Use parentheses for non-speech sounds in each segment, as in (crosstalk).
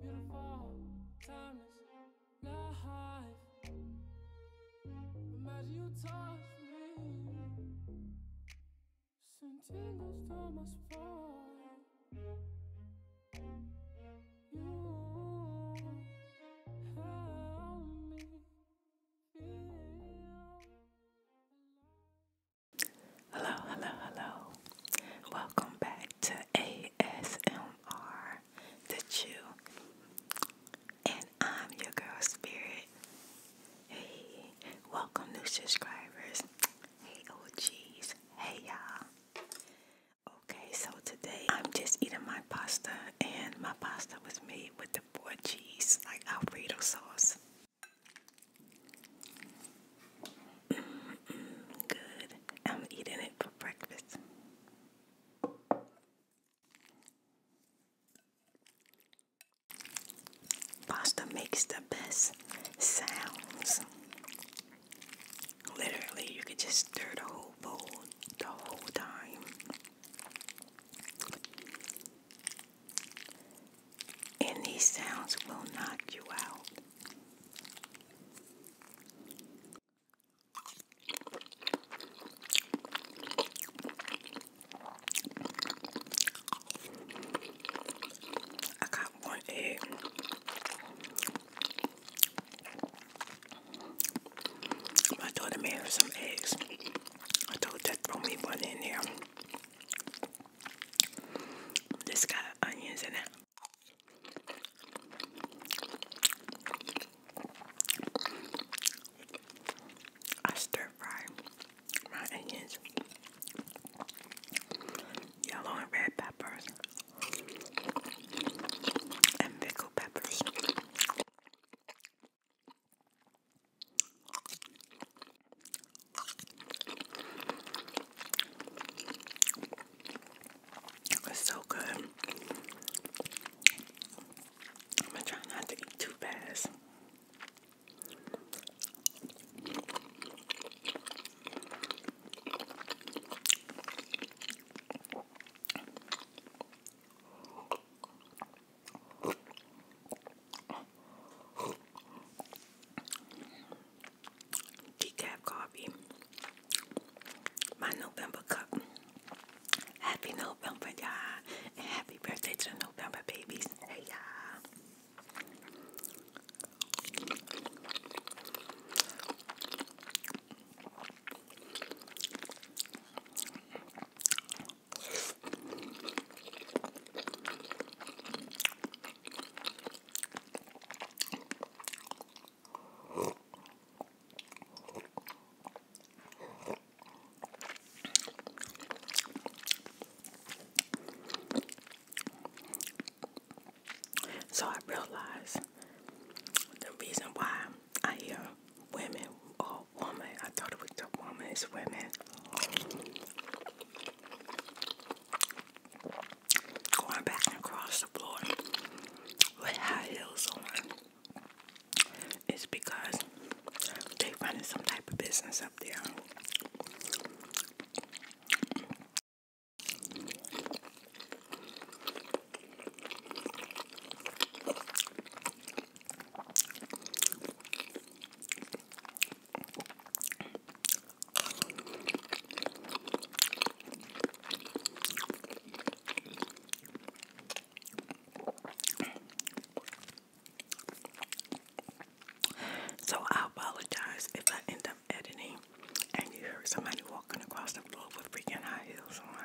Beautiful, timeless life. Imagine you touch me. Send tingles down my You help me feel alive. Hello, hello, hello. Welcome back to ASMR The Chew. And I'm your girl Spirit. Hey, welcome new subscribers. Hey OGs. Hey y'all. Okay, so today I'm just eating my pasta and my pasta was made with the four cheese, like Alfredo sauce good. I'm eating it for breakfast. Pasta makes the best sounds. Literally, you could just stir the whole bowl the whole time and these sounds will knock you out. I got one egg. My daughter made some eggs. I told her to throw me one in there. This got onions in it. I stir fry my onions, yellow and red peppers, and pickled peppers. It's so good. I'm gonna try not to eat too fast decaf coffee. My November cup. Happy November, y'all. And happy birthday to the November babies. Hey, y'all. So I realized the reason why I hear women or woman, I thought it was the woman, it's women going back and across the floor with high heels on is because they are running some type of business up there. So I apologize if I end up editing and you heard somebody walking across the floor with freaking high heels on.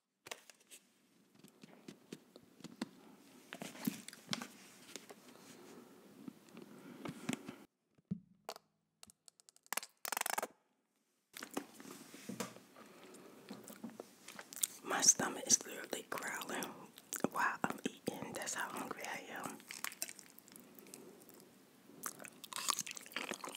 My stomach is literally growling while I'm eating. That's how hungry I am.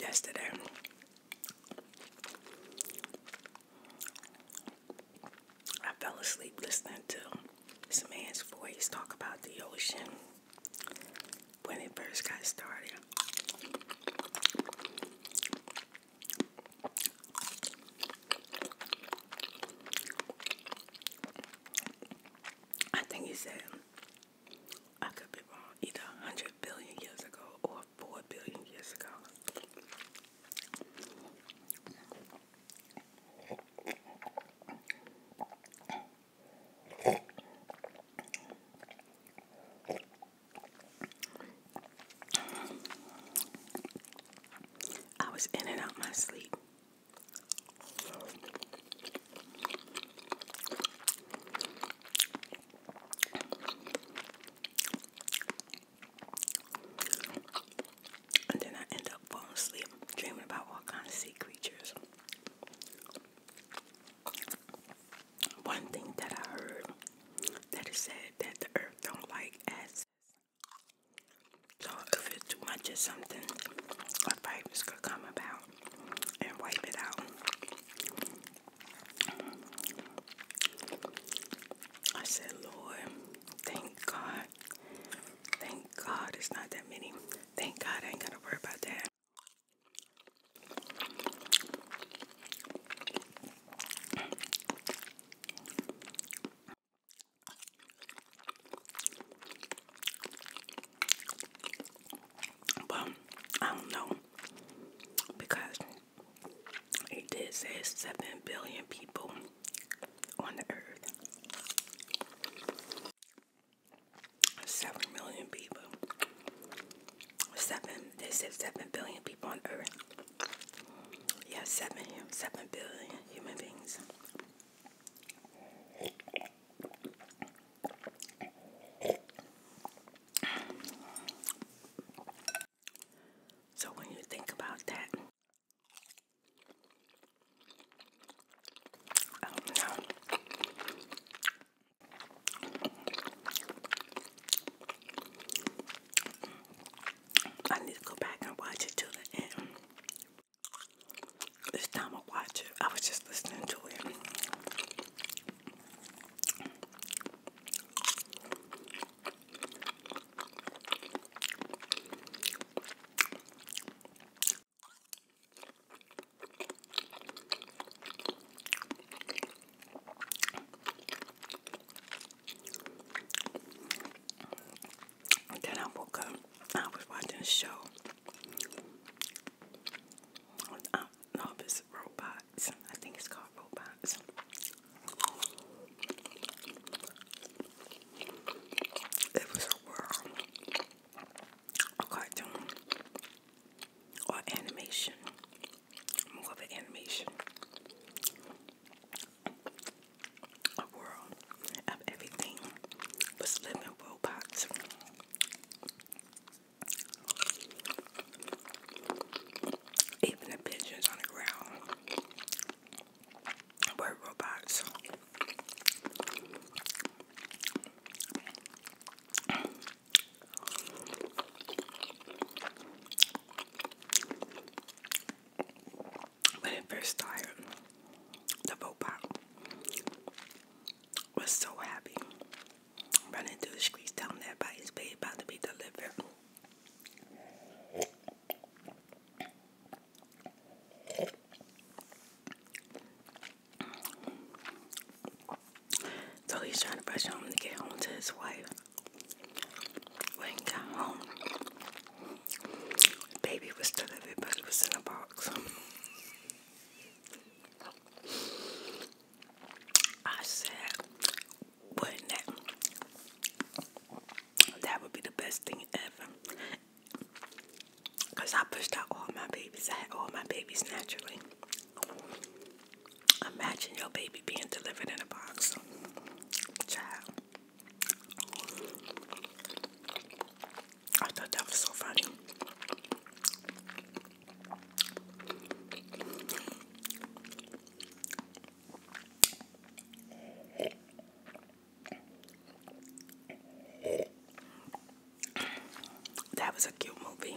Yesterday, I fell asleep listening to this man's voice talk about the ocean when it first got started. I think he said, I could be wrong, either 100 billion years ago or 4 billion years ago. I was in and out my sleep. And then I end up falling asleep, dreaming about all kinds of sea creatures. One thing that I heard that is said that the earth don't like acids. So if it's too something, a virus could come about and wipe it out. I said, Lord, thank God. Thank God it's not that many Thank God I ain't gotta worry about that. Well, I don't know because it did say seven billion people on the earth. 7 million people. 7, they said 7 billion people on earth. Yeah, 7, 7 billion human beings. So when you think about that, I need to go back and watch it till the end. This time I watch it. I was just listening to it. Then I woke up. I was watching a show. I um, no, robots. I think it's called robots. It was a world a cartoon or animation, more of an animation, a world of everything was living robots. Even the pigeons on the ground were robots. When it first started, the robot was so happy running through the streets telling everybody his baby about to be delivered. So he's trying to pressure home to get home to his wife. When he got home, baby was still living, was in a box. I said, wouldn't that? That would be the best thing ever because I pushed out all my babies. I had all my babies naturally. Imagine your baby being delivered in a box. Child. I thought that was so funny. That was a cute movie.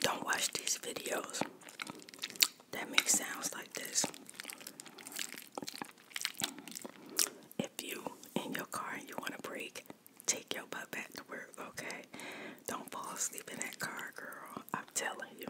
Don't watch these videos that make sounds like this if you in your car and you want to break, take your butt back to work, okay? Don't fall asleep in that car, girl. I'm telling you.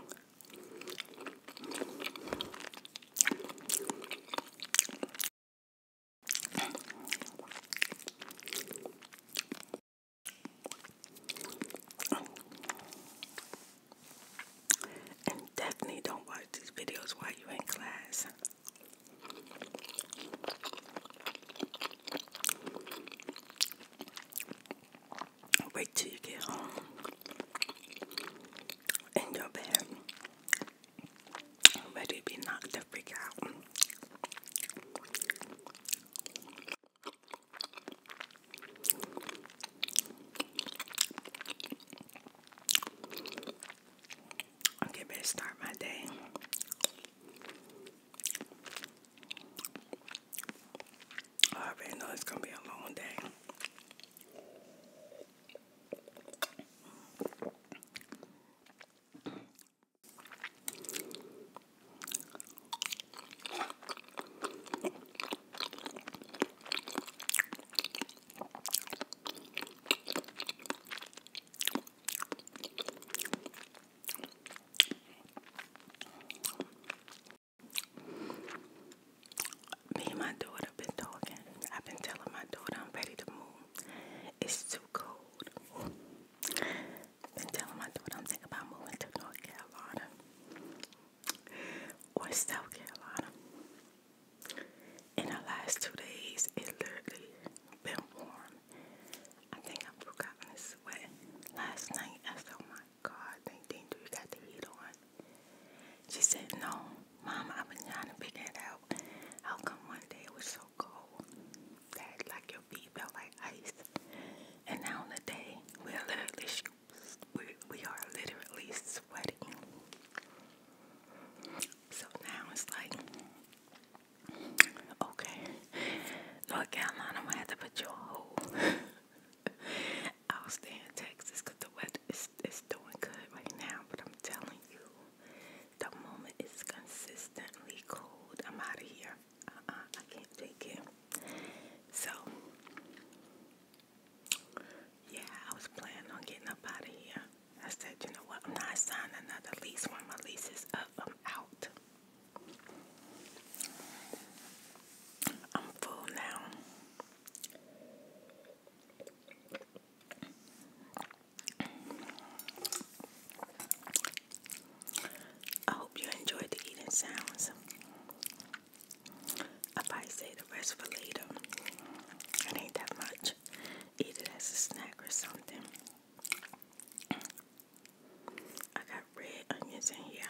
And definitely don't watch these videos while you're in class. Wait till you get home in your bed. Ready to be knocked the freak out. Okay, better start my day. I already know it's gonna be a long day. Me and my daughter been talking. I've been telling my daughter I'm ready to move. It's too cold. Been telling my daughter I'm thinking about moving to North Carolina or South Carolina. In the last two days, it's literally been warm. I think I broke out in sweat. Last night, I said, oh my God, they did you got the heat on. She said, no, Mom, I've been trying to pick it out. How come one day it was so cold that like your feet felt like ice? And now on the day, we're literally, we, we are literally sweating. So now it's like, okay, North Carolina, I'm gonna have to put you on hold. (laughs) I'll stay in Texas because the weather is, is doing good right now, but I'm telling you, the moment is consistently cold, I'm out of here. Uh-uh, I can't take it. So, yeah, I was planning on getting up out of here. I said, you know what? I'm not signing another lease. One of my leases is up, I'm out. I'm full now. I hope you enjoyed the eating sounds. I say rest for later. It ain't that much. Eat it as a snack or something. I got red onions in here.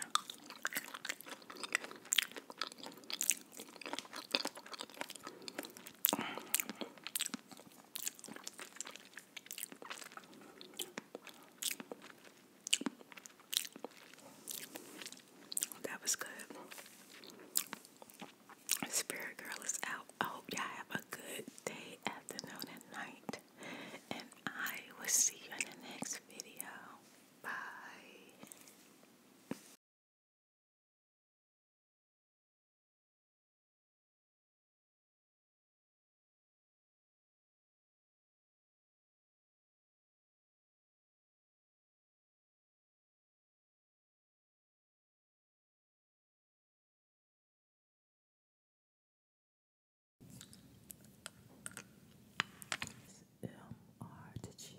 That was good. Spirit Girl is out. I hope y'all have a good day, afternoon, and night. And I will see you in the next video. Bye. M R to chew.